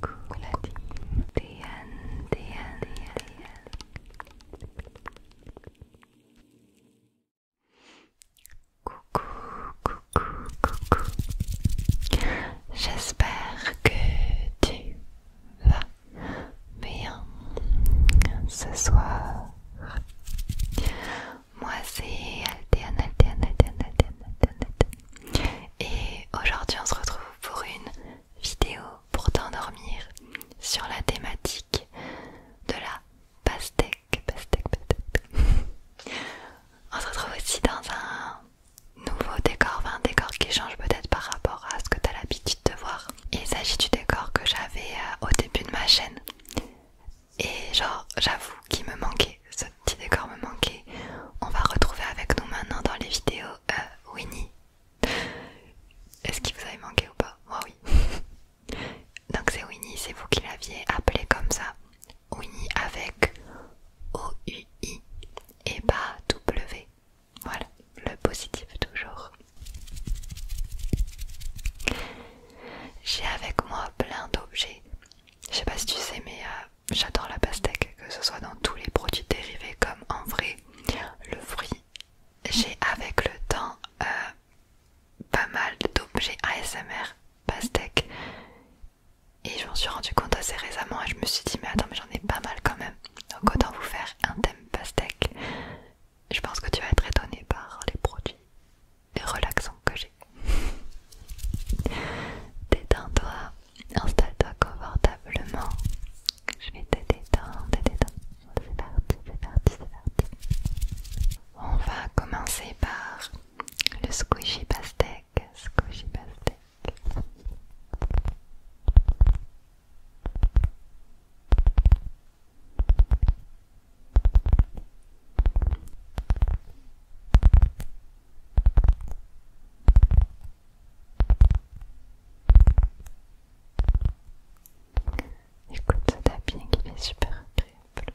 Coucou la team Déane, Déane, Coucou, coucou, coucou J'espère que tu vas bien ce soir moi c'est Altéane, Altéane, Altéane, Altéane, et aujourd'hui on se retrouve pour une vidéo pour t'endormir sur la thématique de la pastèque. pastèque, peut-être on se retrouve aussi dans un nouveau décor, enfin un décor qui change peut-être par rapport à ce que t'as l'habitude de voir. Il s'agit du décor que j'avais euh, au début de ma chaîne. Et genre j'avoue qu'il me manquait ce petit décor me manquait. On va retrouver avec nous maintenant dans les vidéos euh, Winnie. Est-ce qu'il vous avait manqué ou pas Moi oui. Donc c'est Winnie, c'est vous qui l'aviez appelé comme ça. Winnie avec O-U-I et pas W. Voilà, le positif toujours. J'ai avec moi plein d'objets. Je sais pas si tu sais, mais euh, J'adore la pastèque, que ce soit dans tous les produits dérivés comme en vrai. Le fruit, j'ai avec le temps euh, pas mal d'objets ASMR pastèque. Et je m'en suis rendu compte assez récemment et je me suis dit mais attends mais j'en ai pas mal quand même. Donc autant vous faire un thème pastèque. Je pense que tu vas être étonnée par les produits relaxants que j'ai. Détends-toi, installe-toi confortablement. Je vais te détendre, te détendre. C'est parti, c'est parti, c'est parti. On va commencer par le squishy pastèque. Squishy pastèque. Écoute ce bien il est super agréable.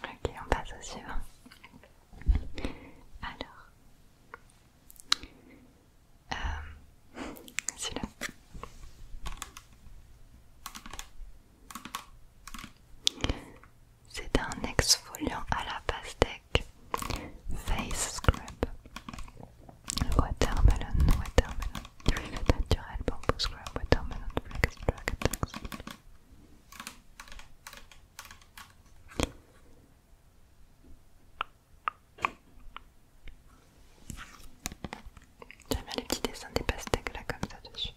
Ok, on passe au suivant. Alors, euh, celui-là. C'est un exfoliant à la pastèque Face Scrub Watermelon, Watermelon, naturel bamboo scrub, watermelon, flex, black, tax. J'aime bien les petits dessins des pastèques là comme ça dessus.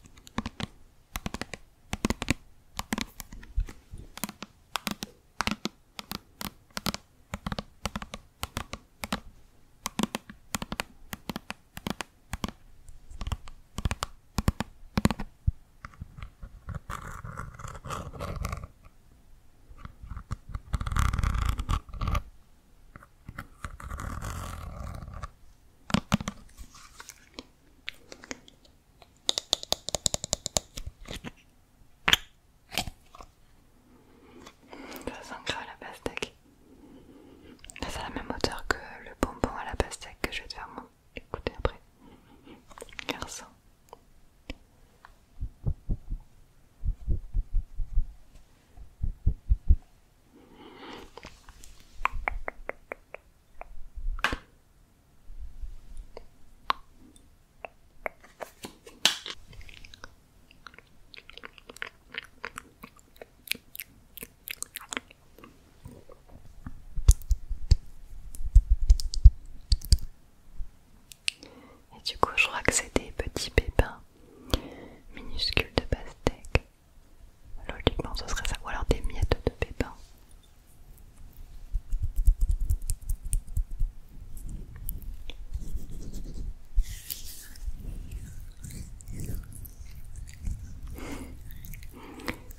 Ça sent à la pastèque. C'est à la même hauteur que le bonbon à la pastèque que je vais te faire monter écoutez après. Garçon. Et du coup, je crois que c'est des petits pépins minuscules de pastèque. Logiquement, ce serait ça, ou alors des miettes de pépins.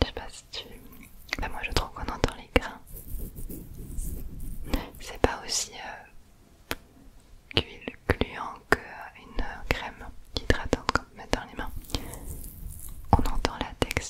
Je sais pas si tu... Bah, moi je trouve qu'on entend les grains. C'est pas aussi cuit euh, gluant qu'une euh, euh, crème hydratante peut mettre dans les mains. On entend la texture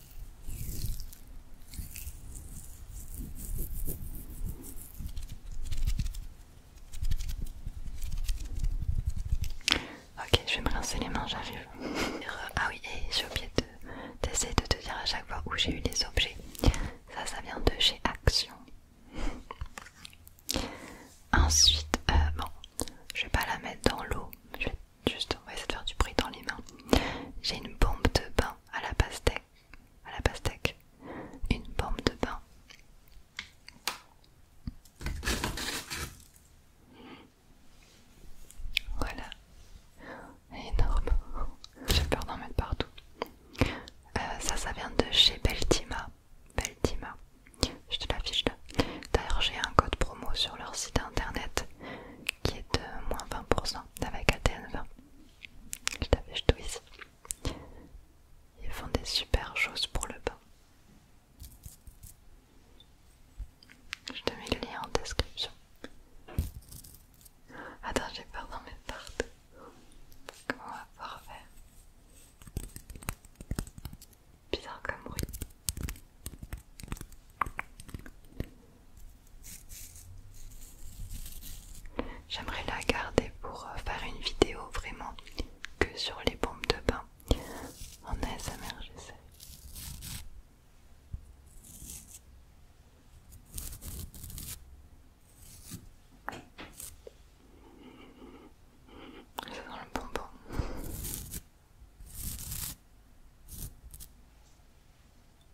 Ok, je vais me rincer les mains, j'arrive. ah oui, et j'ai oublié de de, de te dire à chaque fois où j'ai eu les objets. Ça, ça vient de chez Action. Ensuite, euh, bon, je vais pas la mettre dans l'eau, Juste, on va essayer de faire du bruit dans les mains. J'ai une bombe de bain à la pastèque. À la pastèque. Une bombe de bain. Voilà. Énorme. J'ai peur d'en mettre partout. Euh, ça, ça vient de chez Beltima. Beltima. Je te l'affiche là. D'ailleurs, j'ai un code promo sur leur site internet qui est de moins 20% avec ATN20. Je t'avais tout ici. Ils font des super choses pour le bain. Je te mets le lien en description. Attends, j'ai peur dans mes tartes. Comment on va pouvoir faire Bizarre comme bruit. J'aimerais la garder pour euh, faire une vidéo vraiment que sur les pompes de bain en ASMR, j'essaie. C'est dans le bonbon.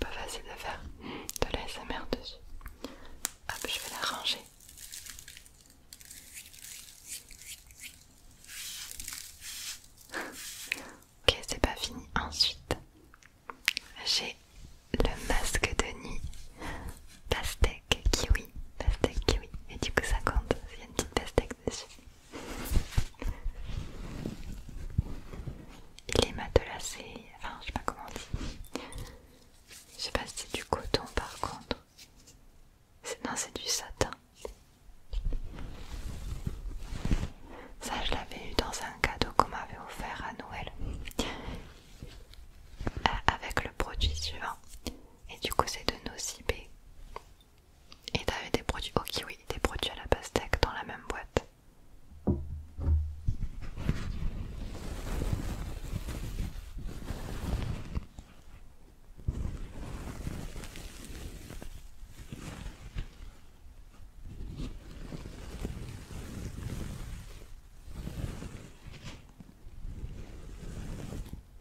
Pas facile de faire de l'ASMR dessus. Hop, je vais la ranger. ok, c'est pas fini. Ensuite, j'ai le masque de nuit pastèque, kiwi, pastèque, kiwi. Et du coup, ça compte, il y a une petite pastèque dessus. Il est matelacé, enfin, je sais pas comment on dit. Je sais pas si c'est du coton par contre. Non, c'est du satin. Ça, je l'avais eu dans un cadeau qu'on m'avait offert à Noël. Euh, avec le produit suivant et du coup c'est de nocibé. Et t'avais des produits au oh, oui, des produits à la pastèque dans la même boîte.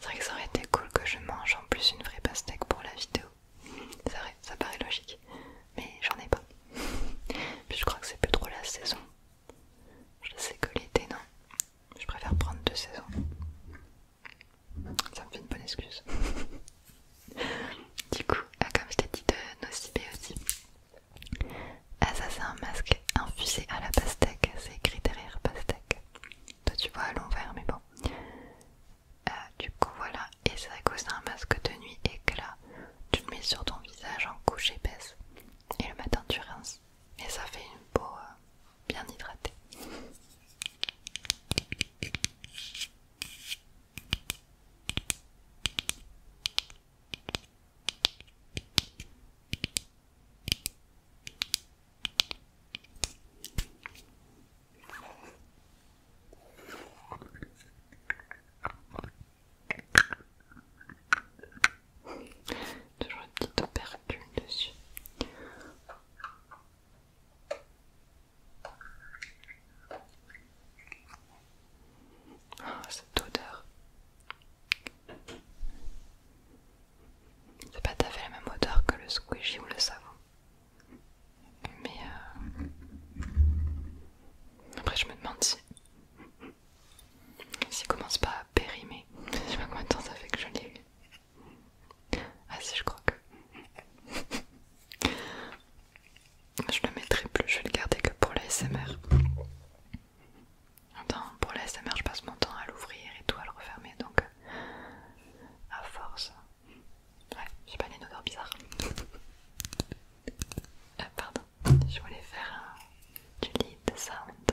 C'est vrai que ça aurait été cool que je mange en plus une vraie pastèque pour la vidéo. C'est ça paraît logique, mais j'en ai pas. Puis je crois que c'est plus trop la saison. Je sais que l'été, non je préfère prendre deux saisons. Ça me fait une bonne excuse. du coup, ah, comme je t'ai dit de Nocibé aussi. Ah, ça c'est un masque infusé à la pastèque, c'est écrit derrière pastèque. Toi tu vois à l'envers, mais bon. Ah, du coup voilà, et c'est vrai c'est un masque de nuit éclat. Tu le mets sur ton visage en couche épaisse et le matin tu rinces. Et ça fait une peau euh, bien hydraté. Toujours une petite opercule dessus. Ah, cette odeur. C'est pas tout fait la même odeur que le squishy ou le savon. Mais euh, après, je me demande si s'il commence pas à périmer, je sais pas combien de temps ça fait que je l'ai eu. Ah si, je crois que. je le mettrai plus, je vais le garder que pour la SMR. Attends, pour la SMR, je passe mon temps à l'ouvrir et tout, à le refermer donc. Euh, à force. Ouais, j'ai pas des odeurs bizarres. Ah, pardon, je voulais faire euh, du lead sound.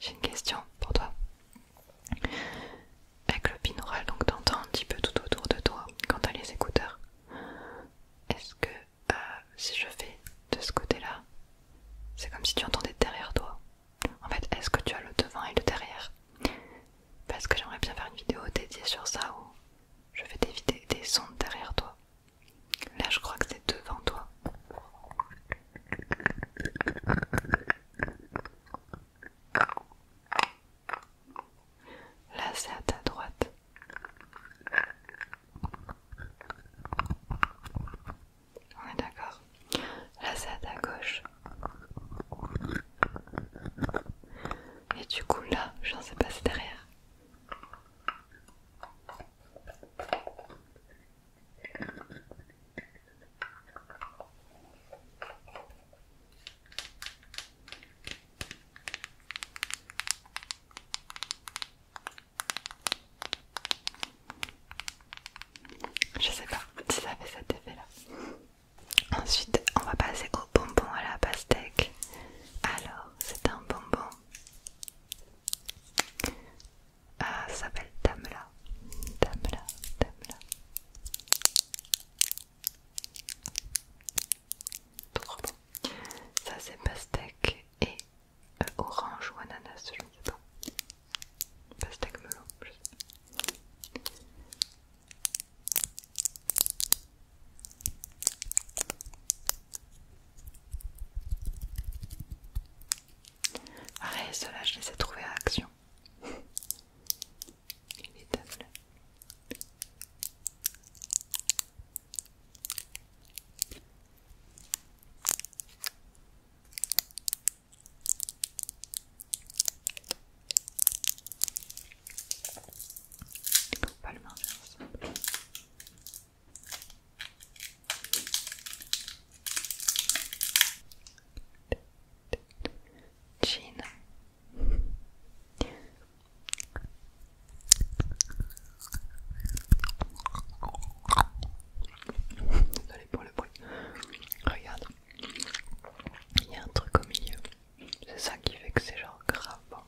J'ai une question pour toi. Avec le binaural, donc t'entends un petit peu tout autour de toi quand t'as les écouteurs. Est-ce que euh, si je fais de ce côté-là, c'est comme si tu entendais derrière toi en fait, est-ce que tu as le devant et le derrière Parce que j'aimerais bien faire une vidéo dédiée sur ça où je vais t'éviter des sons derrière toi. Là, je crois que c'est devant toi. Là, c'est à ta droite. On est d'accord Là, c'est à ta gauche. Et du coup, là, je sais pas, c'est derrière. Je sais pas si ça fait cet effet là. Ensuite, on va passer au bonbon à la pastèque. Alors, c'est un bonbon. Ah, ça s'appelle Tamla. Tamla, Tamla. Trop bon. Ça, c'est pastèque et euh, orange ou ananas, celui ne Pastèque melon, je sais Arrête, cela je les ai trouvés à Action. Il est Inévitable. On peut pas le manger ensemble. Jean. Désolée pour le bruit. Regarde. Il y a un truc au milieu. C'est ça qui fait que c'est genre grave hein.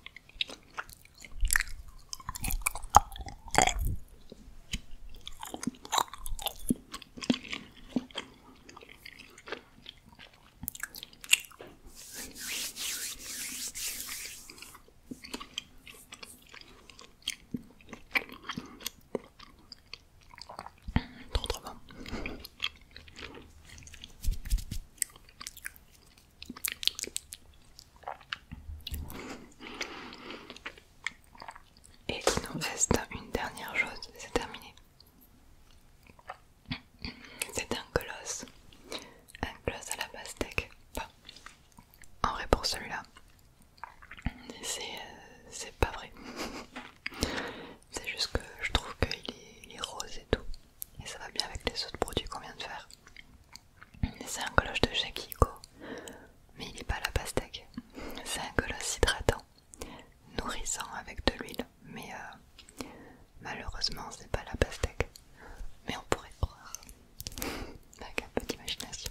Et il nous reste une dernière chose, c'est terminé. C'est un colosse, un colosse à la pastèque. en vrai pour celui-là, c'est euh, pas vrai. C'est juste que je trouve qu'il est, rose et tout. Et ça va bien avec les autres produits qu'on vient de faire. C'est un colosse de chez mais il n'est pas la pastèque. C'est un colosse hydratant, nourrissant avec de l'huile, mais malheureusement, malheureusement c'est pas la pastèque. Mais on pourrait croire, avec un peu d'imagination.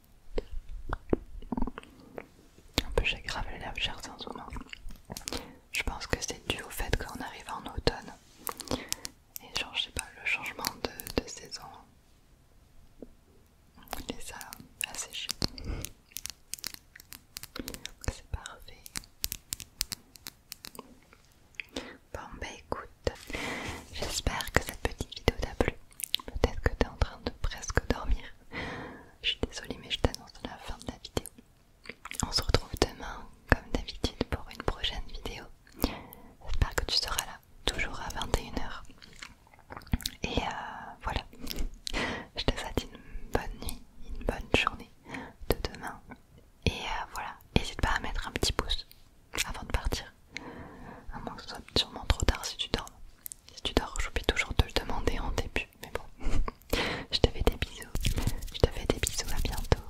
Un peu j'ai grave la en Je pense que c'est dû au fait qu'on arrive en automne. Et genre, je sais pas, le changement de, saison. Et ça assez chouette. C'est parfait. Bon bah écoute, j'espère que cette petite vidéo t'a plu. Peut-être que t'es en train de presque dormir. Je suis désolée, mais je t'annonce la fin de la vidéo. On se retrouve demain, comme d'habitude, pour une prochaine vidéo. J'espère que tu seras là, toujours à 21h. Et euh, voilà. Je te souhaite une bonne nuit, une bonne journée de demain. Et euh, voilà, n'hésite pas à mettre un petit pouce avant de partir. À moins que ce soit sûrement trop tard si tu dors. Si tu dors, j'oublie toujours te le demander en début, mais bon. Je te fais des bisous. Je te fais des bisous, à bientôt.